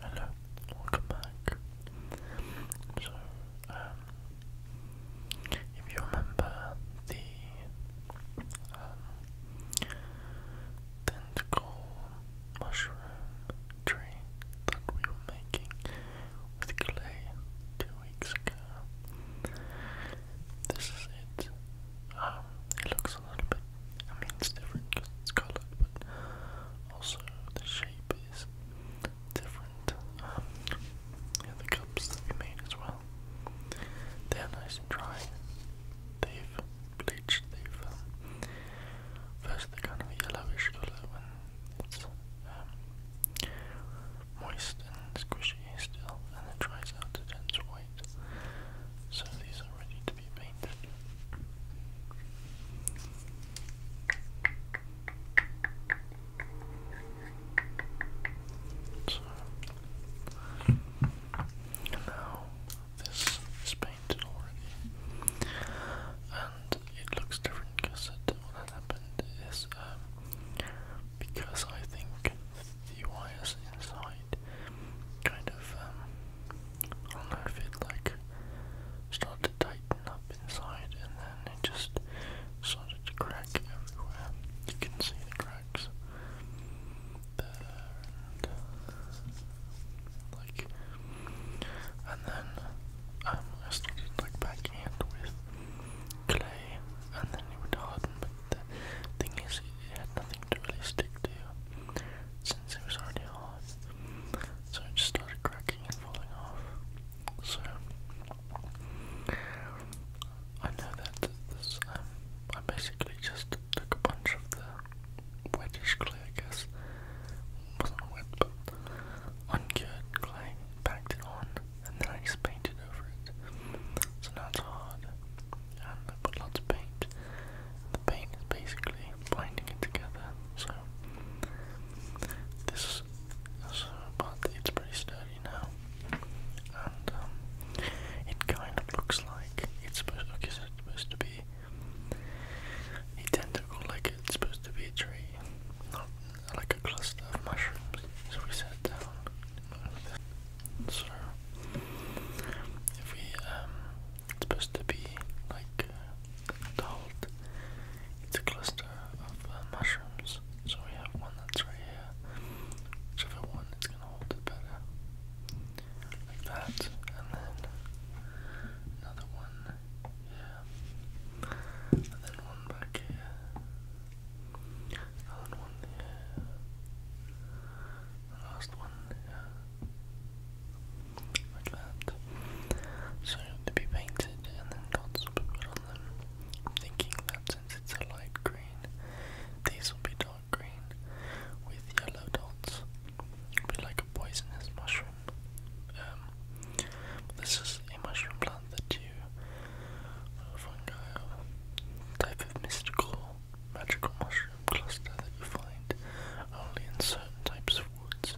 Hello, welcome back. So, um, if you remember the um, tentacle mushroom tree that we were making with clay two weeks ago, this is it. Um, it looks a little bit, I mean, it's different because it's colored, but also, the shape is different. Um, the cups that we made as well. They're nice dry. They've bleached. They've um, first they're kind of yellowish color when it's um, moist and squishy still, and it dries out it turns white. So these are ready to be be painted. So now this is painted already, and it looks different because what happened is um, because I think the wires inside kind of um, I don't know if it like started to tighten up inside and then it just started to crack everywhere. You can see the cracks there like and then um, I started like backing with clay and then it would harden but the thing is it had nothing to really stick to since it was already hard. So it just started cracking and falling off. So I know that this um, I basically just took a bunch of the wettish clay, I guess. Wasn't wet, but uncured clay, packed it on, and then I just painted over it. So now it's hard, and I put lots of paint the paint is basically binding it together, so this is but it's pretty sturdy now. And um, it kind of looks like it's supposed okay, so it's supposed to be a tentacle, like it's supposed to be a tree, not like a cluster of mushrooms. So we sat down. So if we um it's supposed to be like uh, It's a cluster of uh, mushrooms. So we have one that's right here. Whichever one is gonna hold it better. Like that. And then another one here. And then one back here. Another one here. last one here. So they will be painted and then dots will be put on them. thinking that since it's a light green, these will be dark green with yellow dots. It'll be like a poisonous mushroom. Um, this is a mushroom plant that you, fungi, type of mystical, magical mushroom cluster that you find only in certain types of woods,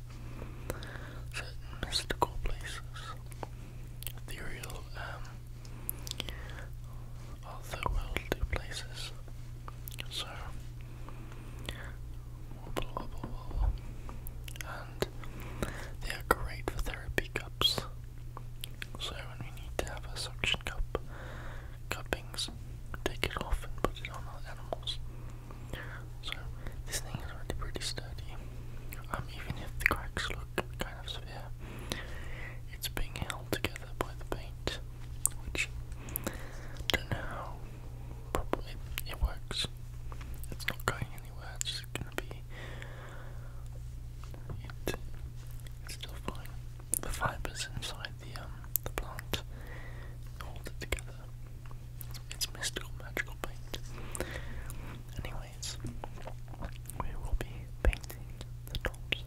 certain mystical places. Ethereal, um, otherworldly places. So, wobble, And they are great for therapy cups. So, when we need to have a suction cup, cuppings, take it off and put it on animals. So this thing is already pretty sturdy. Um, even if the cracks look kind of severe, it's being held together by the paint, which I don't know how it works. It's not going anywhere. It's just gonna be. it's still fine. The fibers inside the um the plant hold it together. It's mystical magical paint. Anyways, we will be painting the tops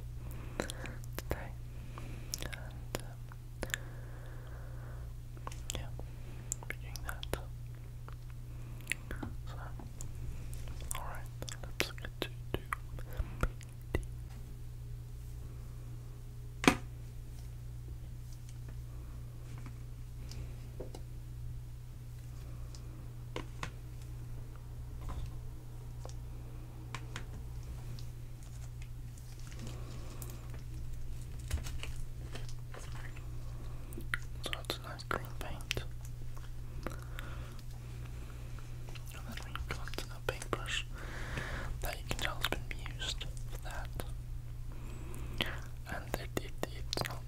today. And um, yeah, doing that. So alright, let's to do so it's a nice green paint. And then we've got a paintbrush that you can tell has been used that. And it, it, it's not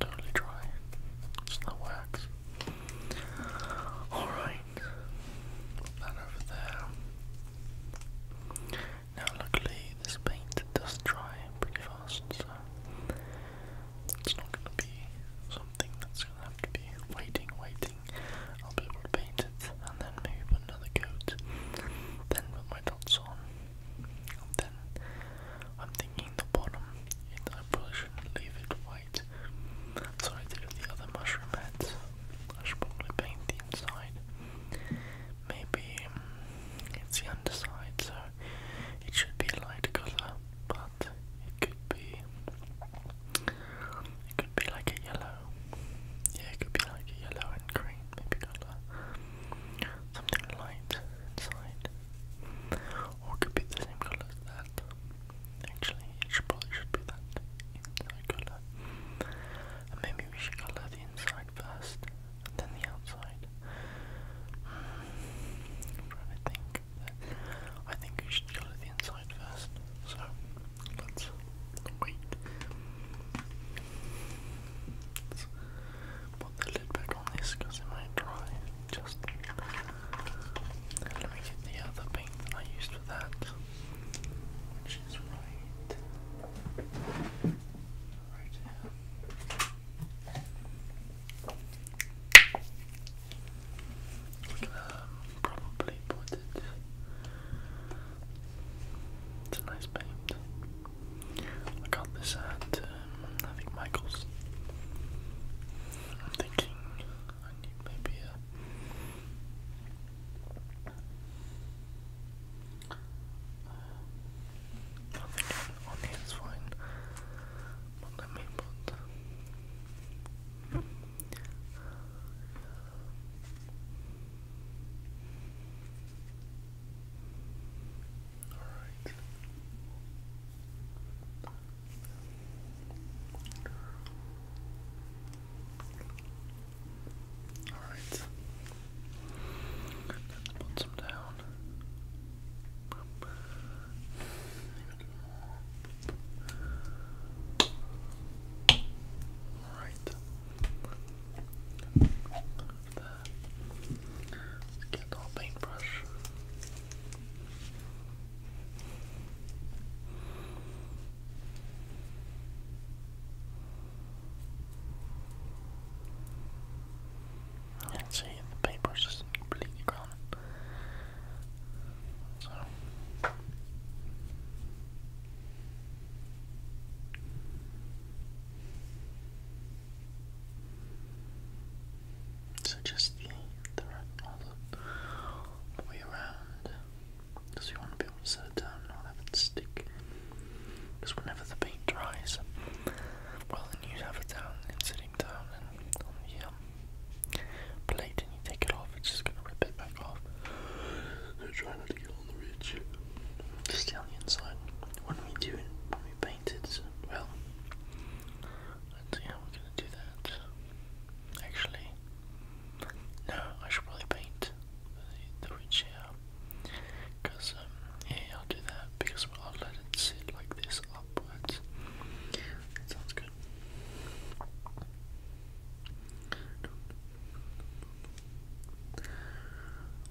totally dry, it still works. Alright, that over there. Now, luckily, this paint does dry pretty fast, so it's not going to be something that's going to have to be waiting, waiting. I'll be able to paint it and then maybe put another coat, then put my dots on. then I'm thinking the bottom, it, I probably should leave it white. So I the other mushroom heads. I should probably paint the inside. Maybe um, it's the underside, so it should be a light colour, but it could be it could be like a yellow. Yeah, it could be like a yellow and green maybe colour, something light inside, or could be the same colour that. Actually, it should should be that inside colour, and maybe we should colour the inside first, and then the outside. Hmm. trying to think. I think we should colour the inside first. So let's Wait. Let's put the lid back on this because it might dry. Just let me get the other paint that I used for that, which is right, right probably put it it's a nice paint. I got this at, um, I think, Michael's. I'm thinking I need maybe a. Uh, on here is fine. let me put. All right. All right. Let's put some down. All right. Let's get a little paintbrush. see, the paintbrush is completely grown. So. So just the, the all way around, because you want to be able to set it down not have it stick. Because whenever the paint dries, well then you have it down and sitting down and on the um, you take it off, it's just going to rip it back off. So try not to on the on the inside. When we doing? it, when we painting? well, let's see how we're gonna do that. Actually, no, I should probably paint the, the ridge here. Because, um, yeah, I'll do that because I'll let it sit like this upwards. sounds good.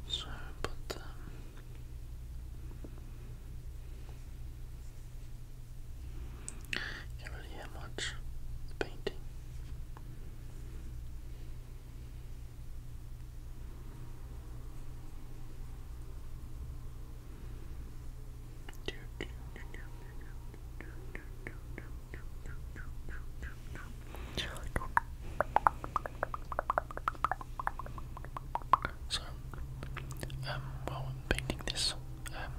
So, but, can't really hear much the painting. So, um, while i painting this, um,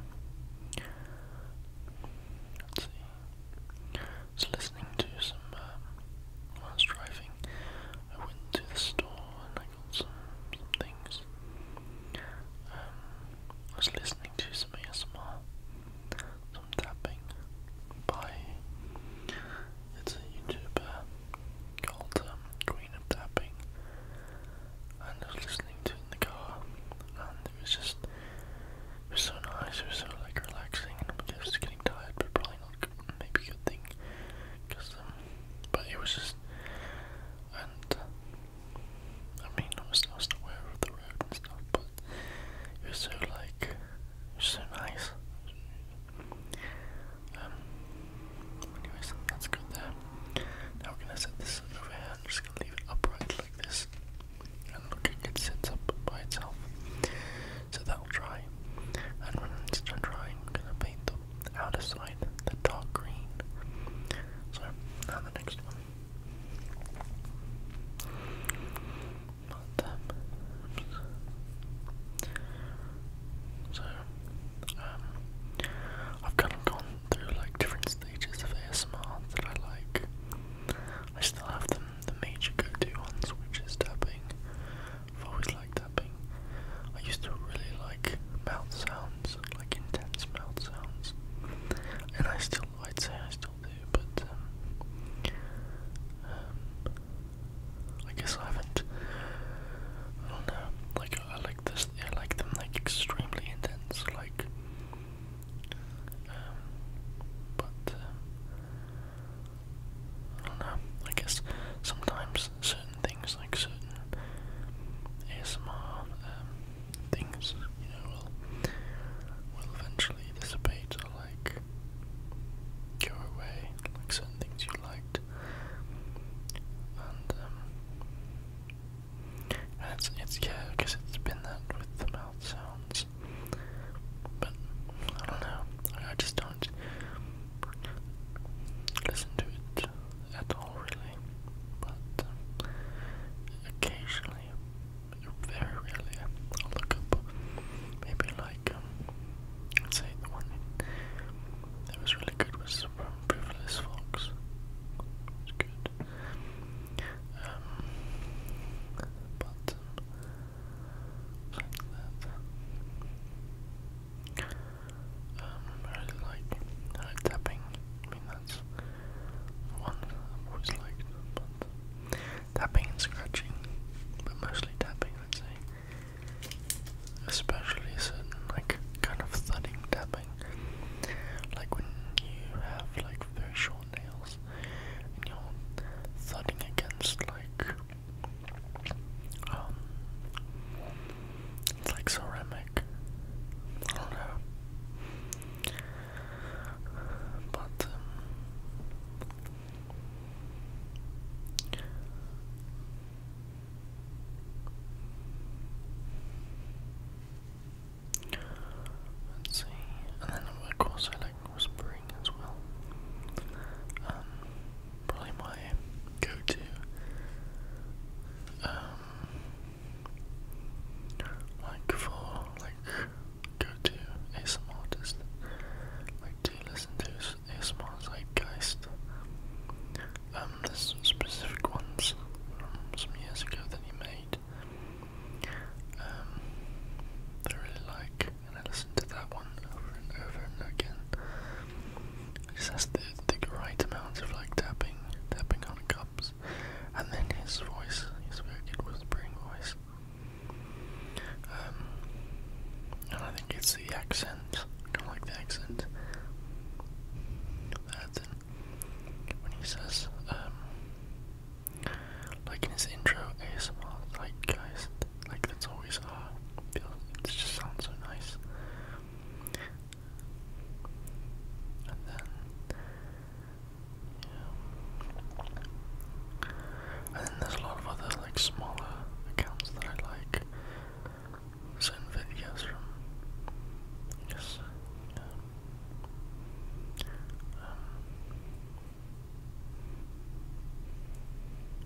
let's see, I was listening to some, um, while I was driving, I went to the store and I got some, some things, um, I was listening to some ASMR, tapping by it's a YouTuber called um, Queen of Tapping, and I was listening to in the car, and it was just it was so nice. It was so like relaxing, and I was getting tired, but probably not good, maybe a good thing, because um, but it was just and. I mean, I was, aware of the road and stuff, but it was so like which so nice. Um, anyways, that's good there. Now we're gonna set this over here. I'm just gonna leave it upright like this. And look, it sits up by itself. So that'll dry. And when it's done drying, we gonna paint the outer side the dark green. So now the next one not So, um, I've kind of gone through like different stages of ASMR that I like. I still have them, the major go-to ones, which is tapping. I've tapping. I used to really like mouth sounds, like intense mouth sounds, and I still, I'd say I still but um, um, I guess I haven't. I don't know. Like I like this. I like them like extremely intense. Like, um, but um, I don't know. I guess sometimes certain things, like certain ASMR um, things, you know, will eventually dissipate. I'll like go like certain things you liked. And um, it's it's yeah, because it's been that with the mouth sounds. But I don't know. I, just don't listen to it at all really. But um, occasionally very rarely I'll look up maybe like um, say the one that was really good was from Frivolous Fox. It good. Um, but um, um, I really like tapping. I mean that's one I've always liked but tapping and scratching, but mostly tapping, I'd say. Especially certain, like, kind of thudding tapping. Like when you have, like, very short nails and you're thudding against, like, um, like ceramic. I don't know. But, um, Let's see, and then of course I like whispering as well. Um, probably my go-to. Um, like for like go to ASMR artists. Like, do you listen to ASMR Zeitgeist? Um, there's some specific ones from some years ago that he made. Um, I really like, and I listen to that one over and over and again. It just the, the right amount of like tapping, tapping on cups. And then his voice, his very good whispering voice, um, and I think it's the accent. I don't like the accent. That when he says, um, like in his intro, ASMR, like guys, like that's always ah, uh, it just sounds so nice. And then yeah. And then there's a lot of other like smaller accounts that I like. Certain videos from I um,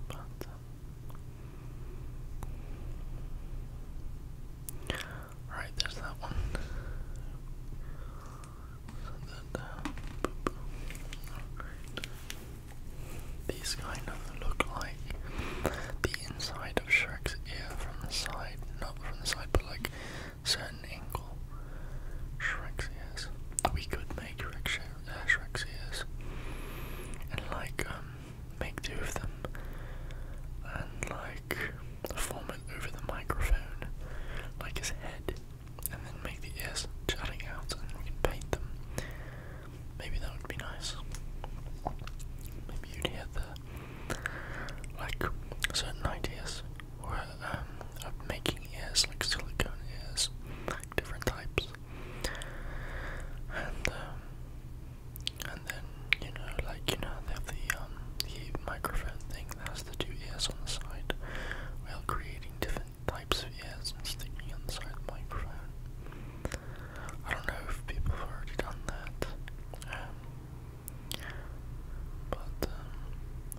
but uh, Right, there's that one. These kind of look like the inside of Shrek's ear from the side, not from the side, but like certain angle. Shrek's ears. We could make uh, Shrek's ears and like um, make two of them and like form it over the microphone, like his head and then make the ears jutting out and we can paint them. Maybe that would be nice. Maybe you'd hear the like certain ideas um, of making ears like silicone ears, like different types. And um, and then you know, like you know, they have the um, the microphone thing that has the two ears on the side. Well, creating different types of ears i sticking inside the microphone. I don't know if people have already done that, um, but um,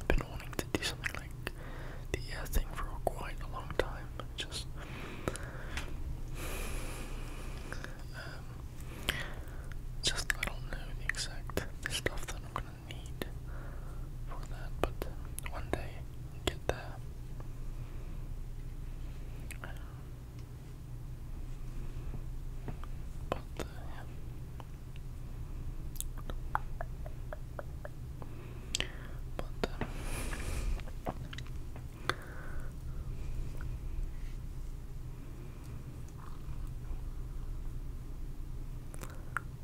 I've been wanting to do something like the ear thing for quite a long time. Just um, just I don't know the exact stuff that I'm gonna need for that, but one day get there. But uh, But um,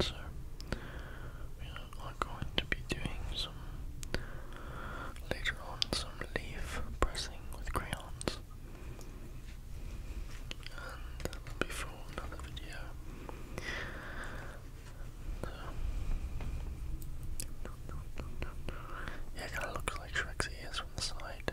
So, we are going to be doing some, later on, some leaf pressing with crayons. And that will be for another video. So, yeah, it kind of looks like Shrek's ears from the side.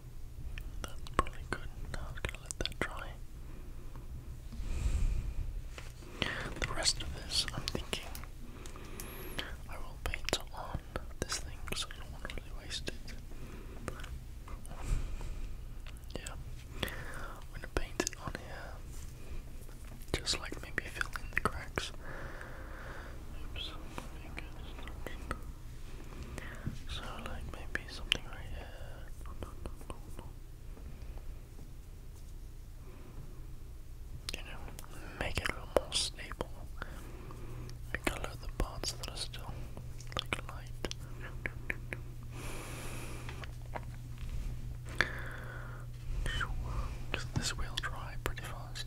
That's probably good. Now I was gonna let that dry. The rest of this, I'm thinking I will paint on this thing because I don't want to really waste it. Yeah, I'm gonna paint it on here, just like maybe fill the cracks. Oops, So like maybe something right you know, make it a little more stable. Make the parts that are still like light. Because this will dry pretty fast.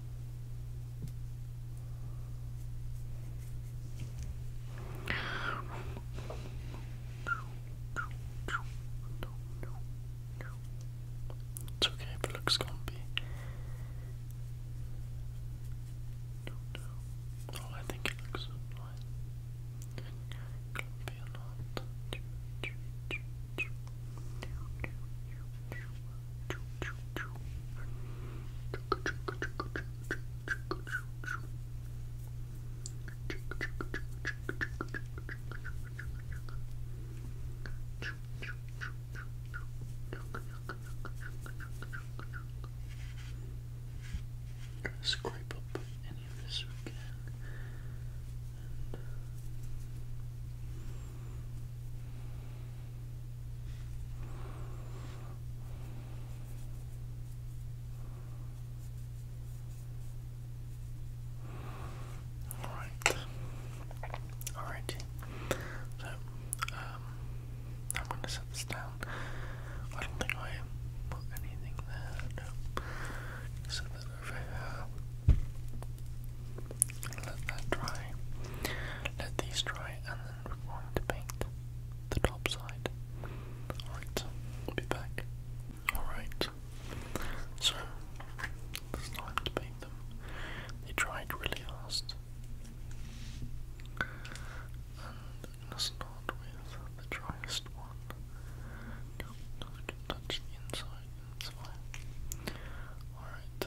It's okay if it looks clumpy. No, oh, I think it looks fine. Try to scrape up any of this we can. And uh, all right. All So, um, I'm gonna set this down. I don't think I put anything there. No. Set that let that dry. Let these dry, and then we're going to paint the top side. Alright, be back. Alright, so it's time to paint them. They dried really fast. And let's start with the driest one. No, I can touch the inside, it's fine. Alright,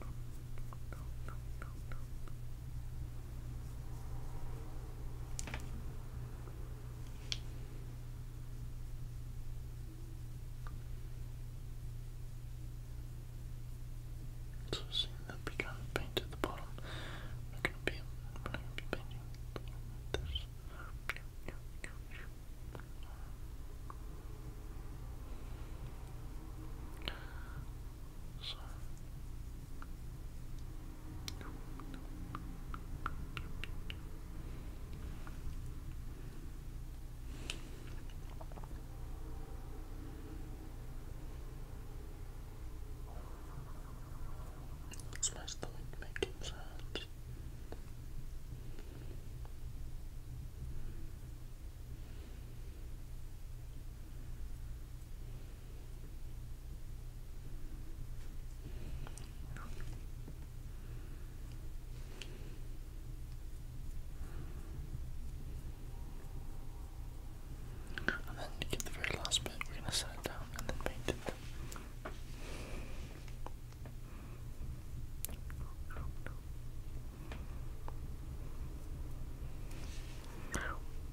no, no, no, no, no, no. So kind of painted the bottom, we're gonna be we're gonna be painting this. So. It's my stomach making and then to get the very last bit, we're going to set it down and then paint it.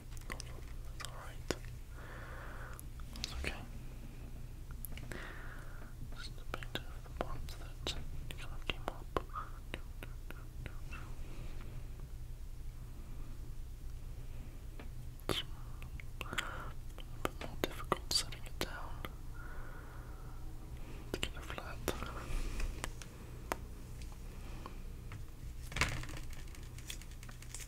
That's alright. That's okay. Just a bit of the ones that kind of came up. a bit more difficult setting it down. It's kind of flat. Thank you.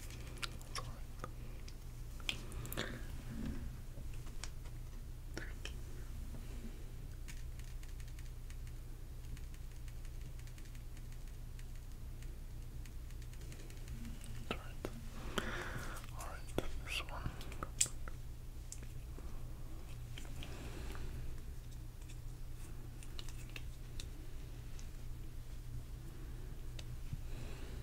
Alright. Alright, this one.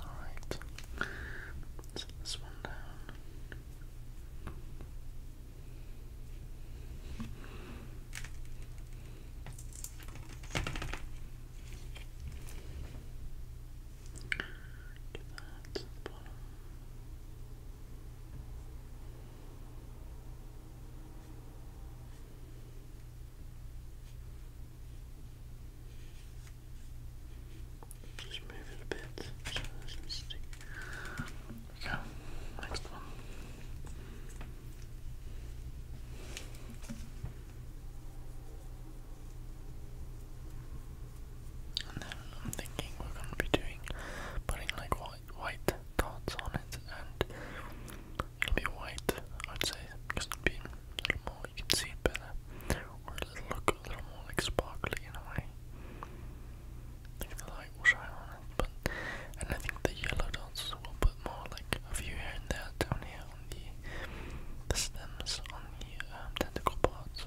Alright, set this one down. Get that to the bottom. Just move it a bit so next one. And then I'm thinking we're gonna be doing putting like white white dots on it and it'll be white I'd say just being a little more, you can see it better, or it'll a little more sparkly in a way. I the light will shine on and I think the yellow dots will put more like a few here and there down here on the, the stems, on the um, tentacle parts.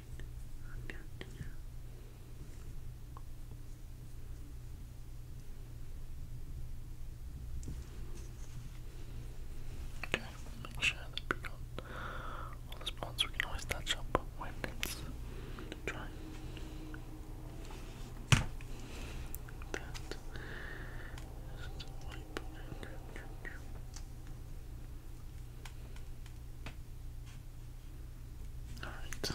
i Okay, make sure that we got all the spots we can always touch up when it's dry. That is the wipe. All right.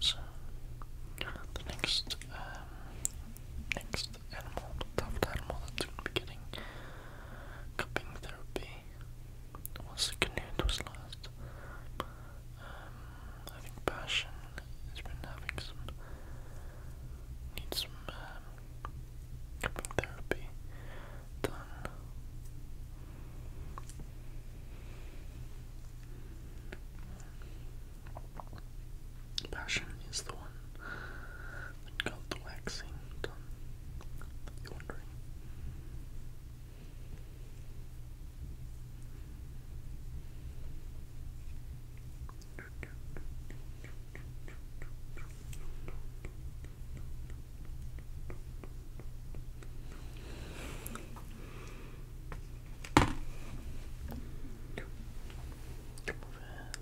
So the next uh, next animal, stuffed animal that's going to be getting cupping therapy was Canute was last. Um, I think has been having some, needs some um, therapy done. Passion is the one that got the waxing done. You're wondering.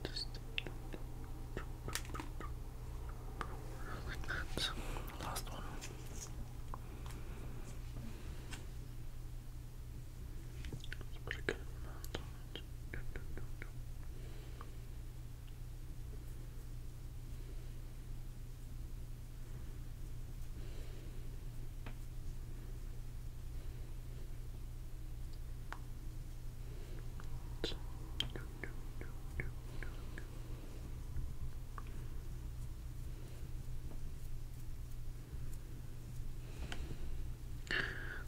Just like Last one.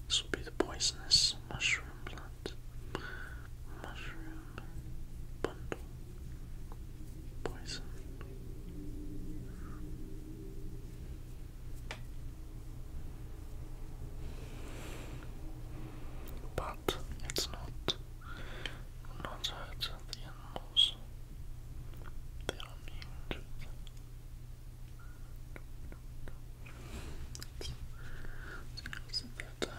This will be the poisonous mushroom plant. Mushroom bundle. Poison. But it's not not hurt the animals. They are immune to it. But, but, but, but.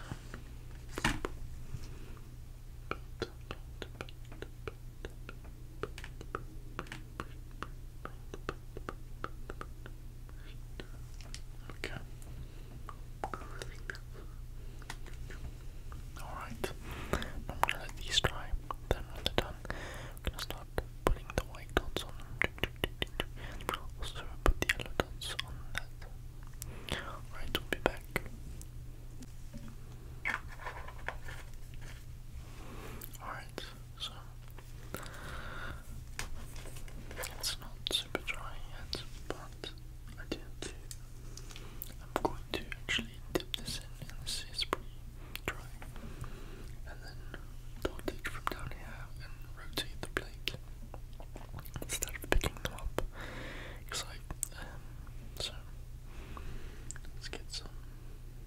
Okay. Alright. I'm gonna let these dry. Then when they're done, I'm gonna start putting the white dots on them. Also put the yellow dots on that. Alright, we'll be back. Alright, so it's not super dry yet, but I did. I'm going to actually dip this in, and this is pretty dry. And then I'll from down here and rotate the plate instead of picking them up. Um, so let's get some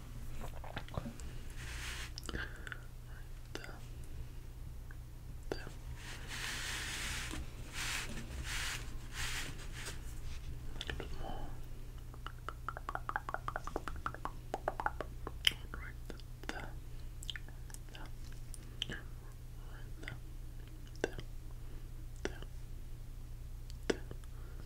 Right there. There. A little more. Right there. There. There. There. There.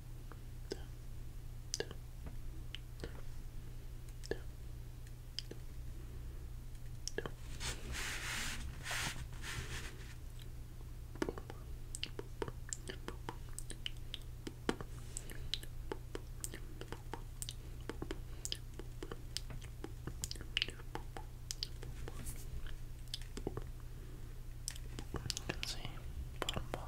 You can see bottom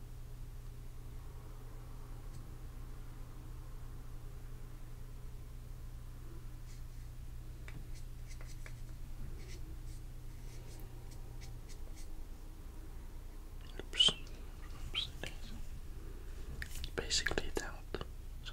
Oops. Oops. Basically that. So.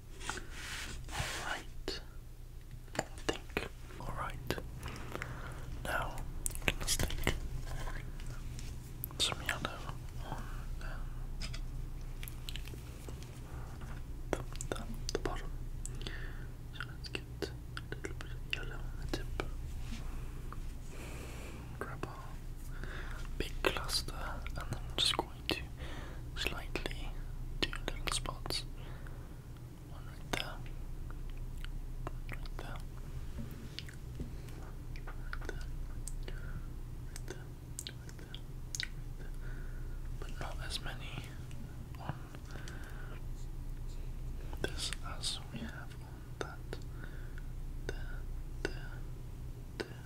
Alright. I think. Alright. Now, you can some yellow on um, the, the, the bottom. So let's get a little bit of yellow on the tip. Grab our big cluster and then just go going slightly two little spots. One right there. right there. Right there. Right there. Right there. But not as many on this as we have on that. There, there, there,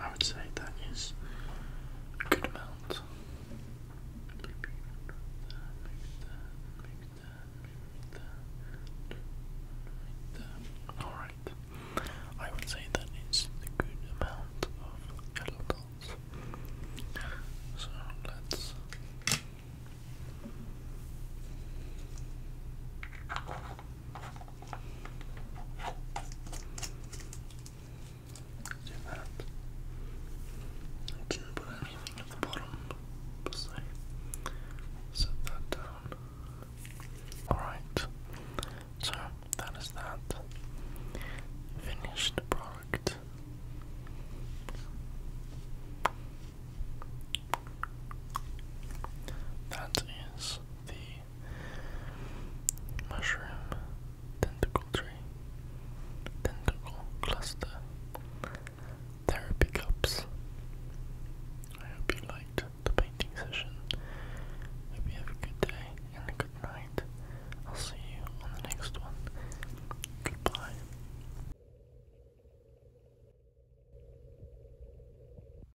I would say that is a good amount. Alright. I would say that is a good amount of yellow dots. So let's Zoom out. didn't put anything at the bottom, so set that down. Alright, so that is that. Finished product. That is the mushroom, tentacle tree, tentacle cluster, therapy cups. I hope you liked the painting session. Hope you have a good day and a good night. I'll see you on the next one. Goodbye.